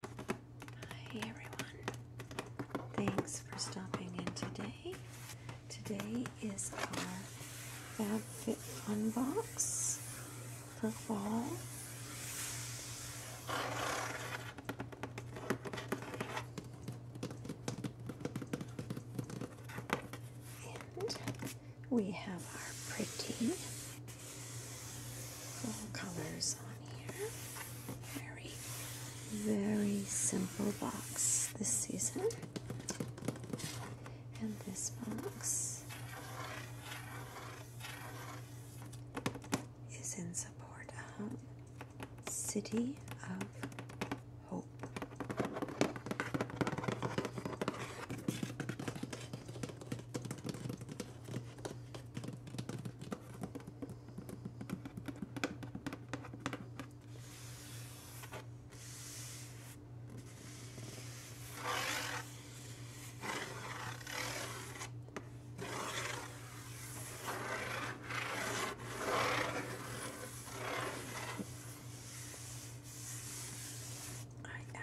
Hi everyone. Thanks for stopping in today. Today is our FabFitFun box for fall. And we have our pretty fall colors on here. Very, very simple box this season. And this box is in support of City of Hope. I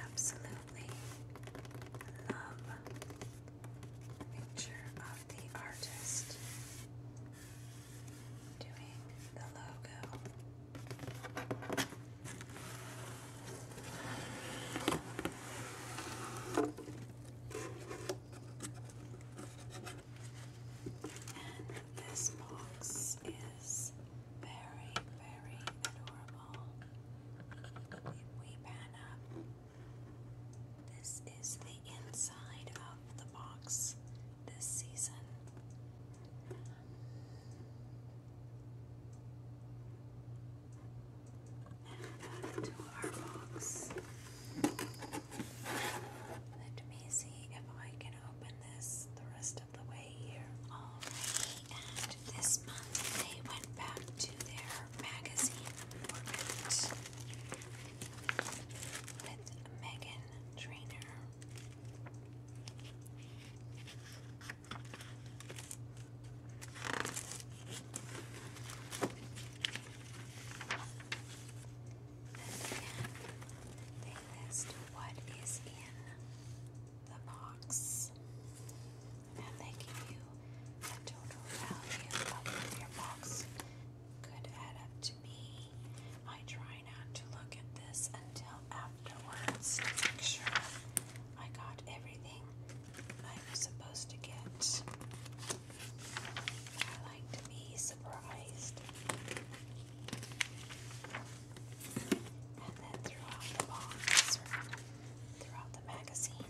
absolutely love picture of the artist doing the logo. And this box is very, very adorable. If we pan up, this is the inside of the box this season. And back to our box. Let me see if I can open this the rest of the way here. Alrighty, and this month they went back to their magazine with Megan Trainer. And they list what is in the box and they give you a total value of your box could add up to be. I try not to look at this until afterwards to make sure I got everything I was supposed to get. I like to be surprised. And then throughout the box, throughout the magazine,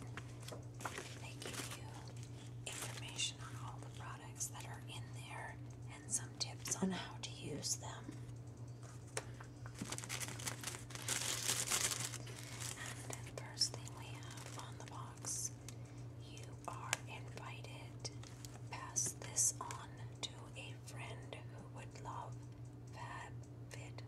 they give you information on all the products that are in there and some tips on how to use them. And first thing we have on the box, you are invited. Pass this on to a friend who would love FabFitFun.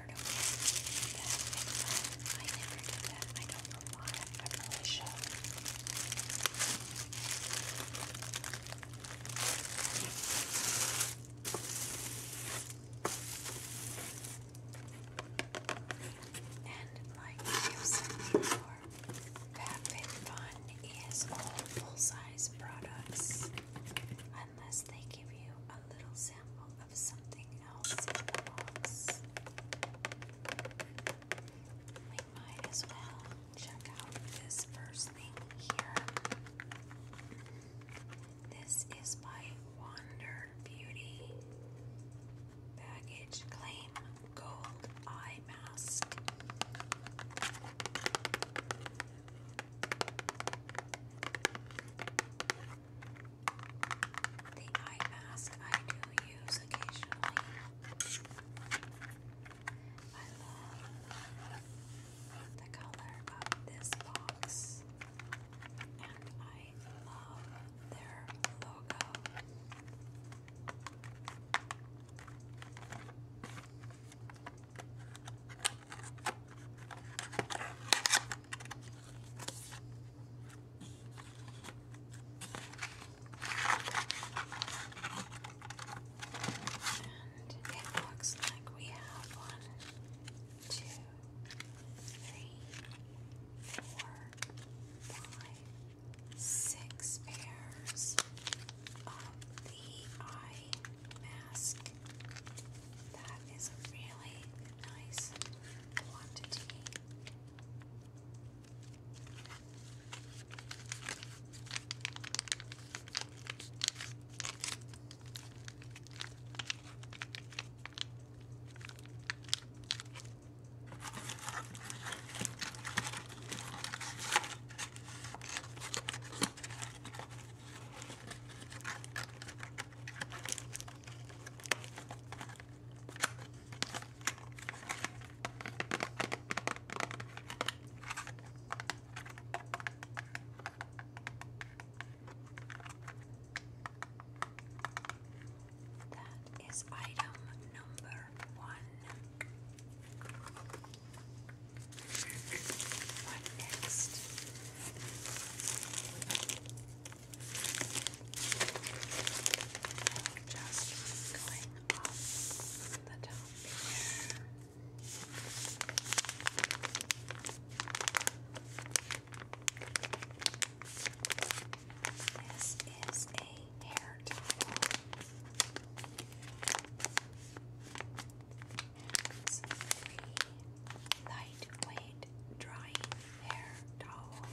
tired of doing that. And I never do that. I don't know why. I really should. And like you said before, Fat Fit Fun is all full size products. I unless they give you a little sample of something else We might as well check out this first thing here. This is by Wander Beauty Baggage Claim Gold Eye Mask. The eye mask I do use occasionally. I love the color of this box, and I love their logo. And it looks like we have one, two, three, four, five, six pairs of the eye mask. That is a really nice quantity. That is item number one. What next? Just going off the top here. This is a hair towel. Axe Free Lightweight Drying Hair Towel.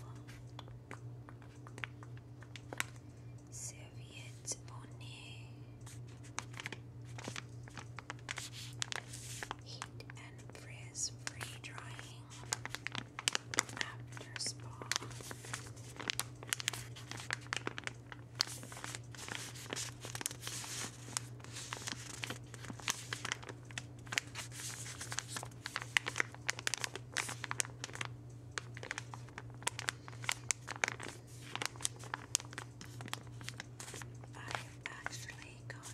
Serviette Bonnet. Heat and frizz free drying after spa. I've actually got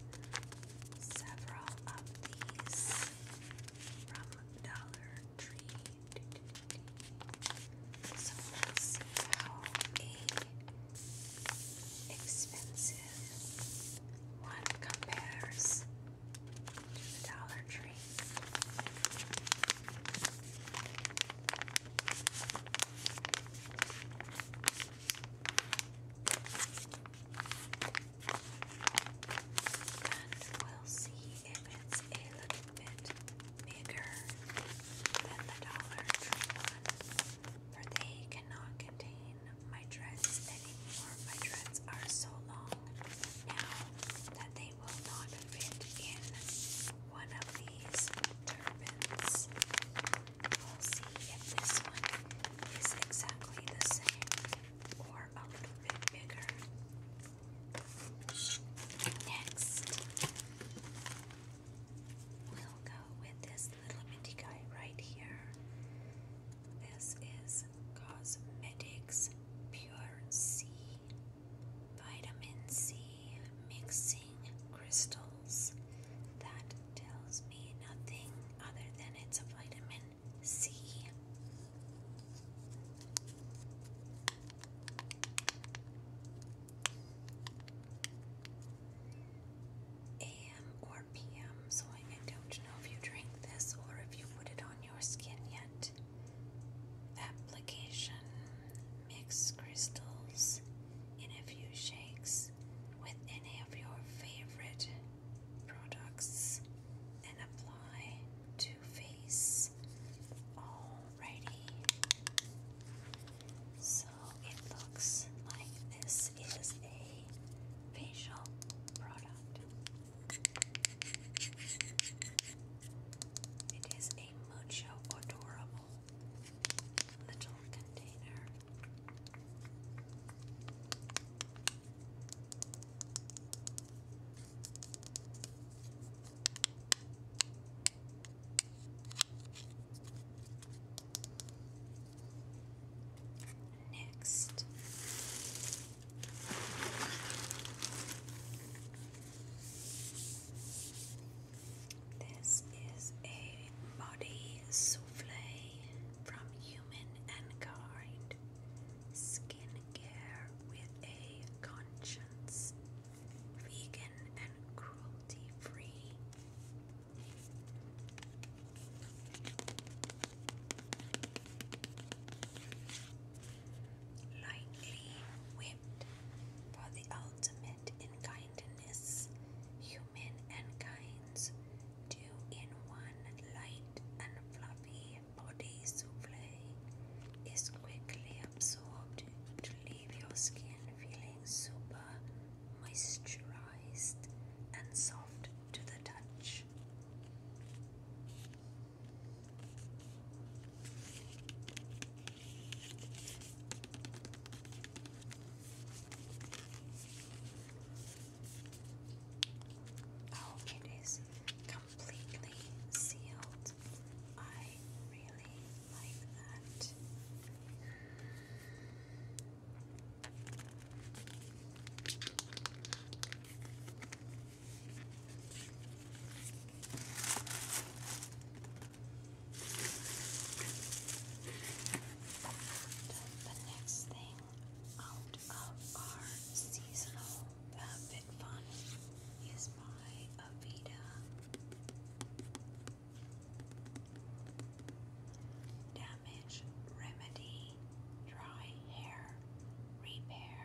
several of these from Dollar Tree. So let's see how a expensive one compares to the Dollar Tree. And we'll see it's a little bit bigger than the Dollar Tree one for they cannot contain my dreads anymore. My dreads are so long now that they will not fit in one of these turbans. We'll see if this one is exactly the same or a little bit bigger. Next, we'll go with this little minty guy right here. This is Cosmetics Pure C Vitamin C Mixing Crystals. That tells me nothing other than it's a vitamin C a.m. or p.m. So I, don't know if you drink this or if you put it on your skin yet. Application mix crystals in a few shakes with any of your favorite products and apply to face. Alrighty. So it looks like this is a facial product. It is a mucho adorable little container. Next, this is a body souffle from Human and Kind Skincare with a Conscience, vegan and cruelty free. Lightly whipped for the ultimate in kindness, human and kinds, two in one light and fluffy body souffle is quickly absorbed to leave your skin feeling super moisturized and soft to the touch. Oh, it is completely sealed. I really like that the next thing out of our seasonal uh, big is my Avita Damage remedy, dry hair repair.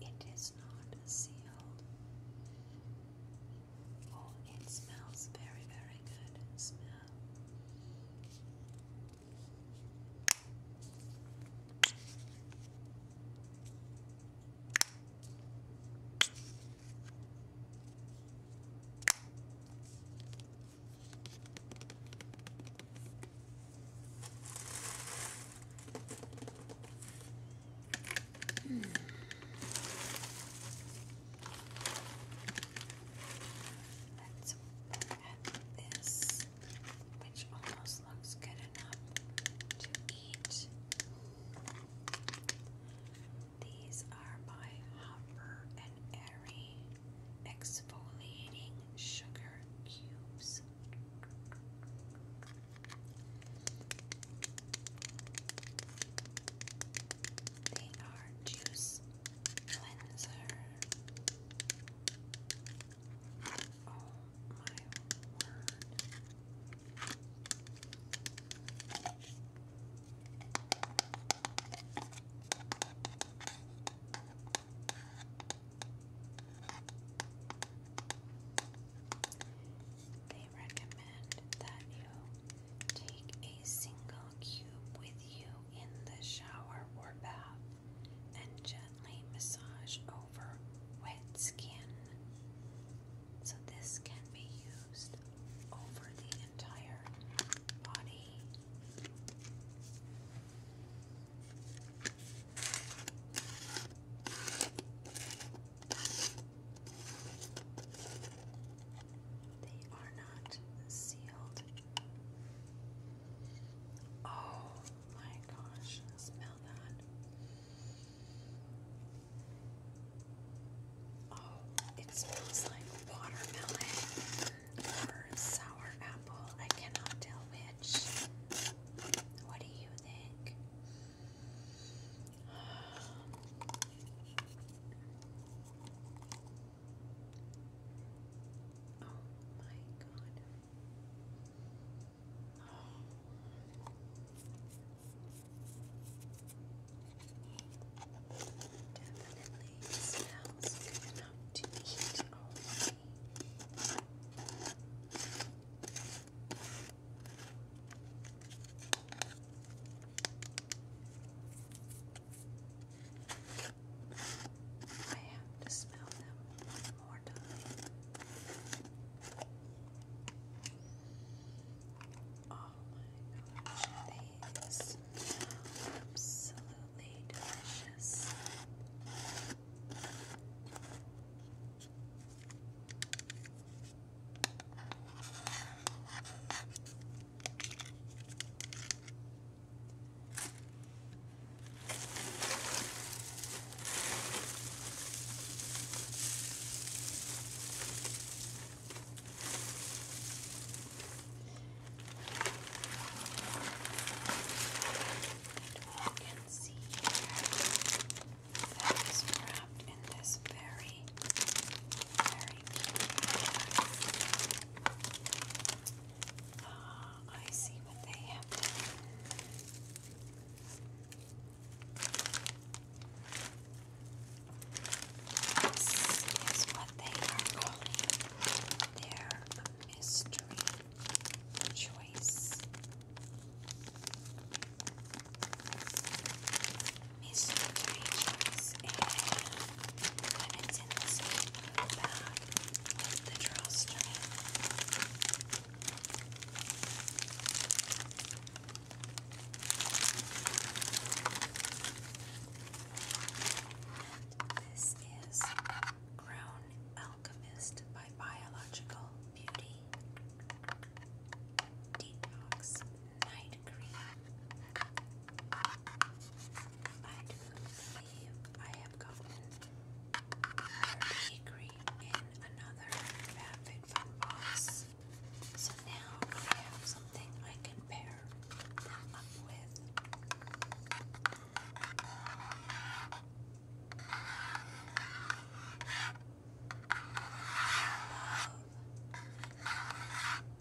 It is not sealed. Oh, it smells very, very good. Smell. Let's look at this, which almost looks good enough to eat. These are by Hopper and Airy exfoliating sugar cubes. They are juice cleanser. Oh my They recommend that you Take a single cube with you in the shower or bath and gently massage over wet skin. So, this can be used over the entire body. They are not sealed. Oh my gosh, smell that. Oh, it smells like watermelon or sour apple. I cannot tell which. What do you think? Oh my god. Oh. Definitely smells good enough to eat already. I have to smell them one more time. Oh my gosh, they smell absolutely delicious. And we can see here that is wrapped in this very very, very I see what they have done. what they are calling their mystery choice this bag the drawstring. This is Grown Alchemist by Biological Beauty Detox night cream. I do believe I have gotten Purdy in another outfit from Boss. So now I have something I can pair up with.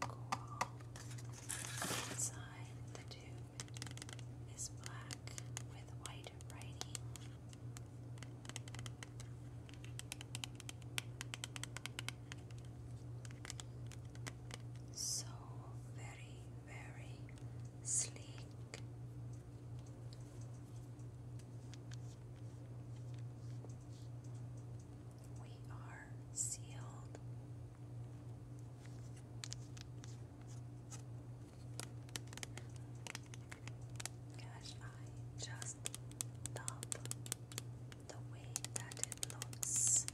coral. Inside the tube is black with white writing. So very, very sleek we are sealed. Gosh, I just love the way that it looks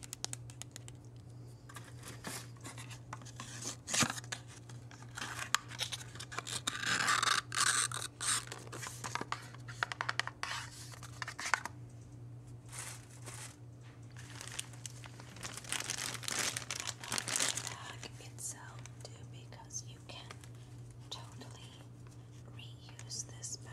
bag itself too because you can totally reuse this bag.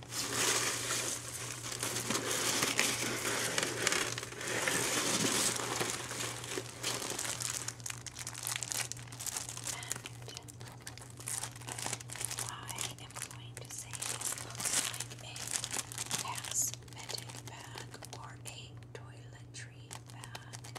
I am going to say this looks like a cosmetic bag or a toiletry bag.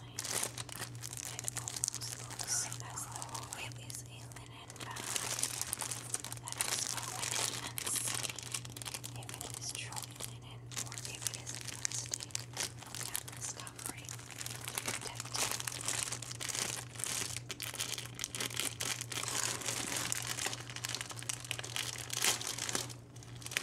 line that almost looks as though it is a linen bag that is for linen and silk. If it is truly linen or if it is plastic, canvas covering, protective. It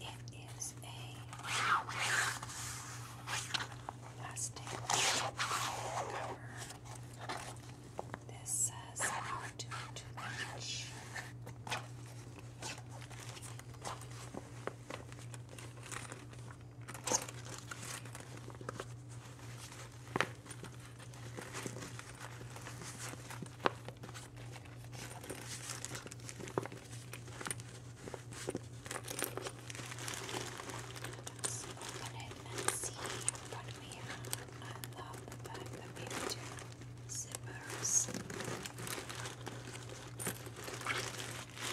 It is a plastic This says how to Let's open it and see what we have. I love the fact that we have two zippers. And they each in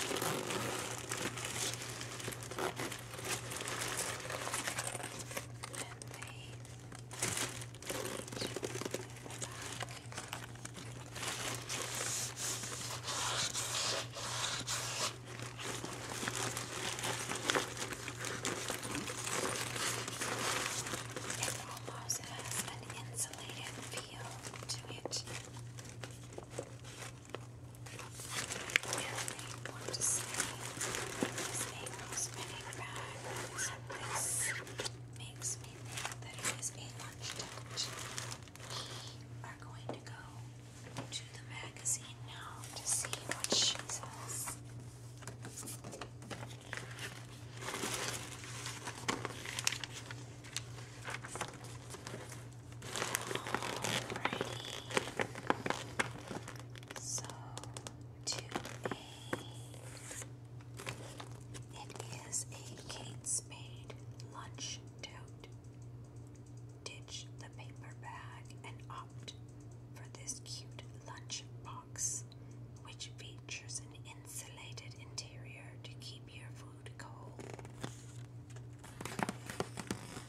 the back. It almost has an insulated feel to it. Really want to say this angle spinning back makes me think that it is a lunch touch are going to go to the magazine now to see what she says. Alrighty. So to a it is a Kate Spade lunch doubt. the paper bag and opt for this cute lunch which features an insulated interior to keep your food cold.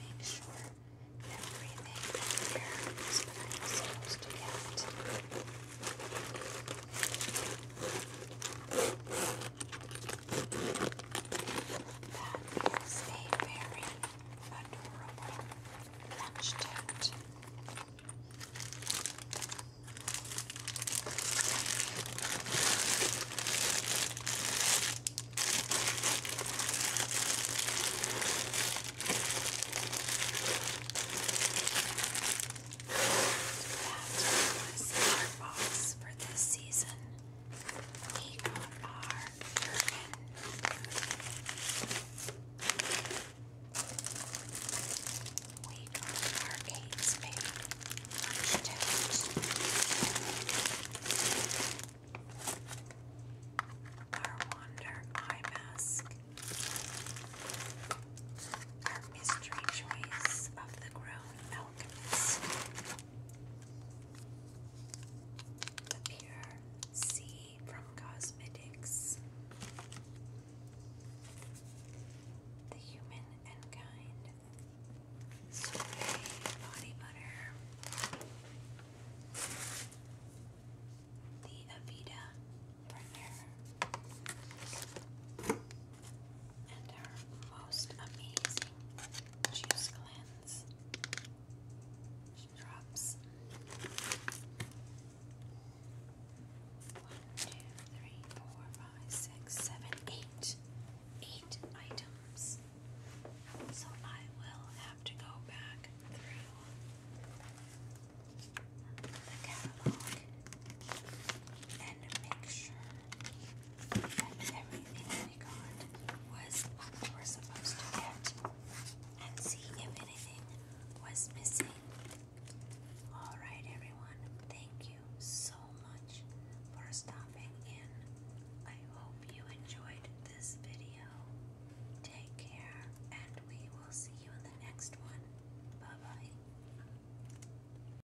Make sure everything in there is what I that is a very adorable lunch tent. Now, our box for this season. We got our Urban we got our eight spade our Wander eye mask, our mystery choice of the grown Alchemist. The Pure Sea from Cosmetics. The Human and Kind. Spray Body Butter. The Avita Primer and her most amazing juice cleanse drops. One, two, three, four, items. So I will have to go back through the catalog and make sure that we got was what we were supposed to get and see if anything was missing. Alright, everyone, thank you so much for stopping in. I hope you enjoyed this video. Take care, and we will see you in the next one. Bye bye.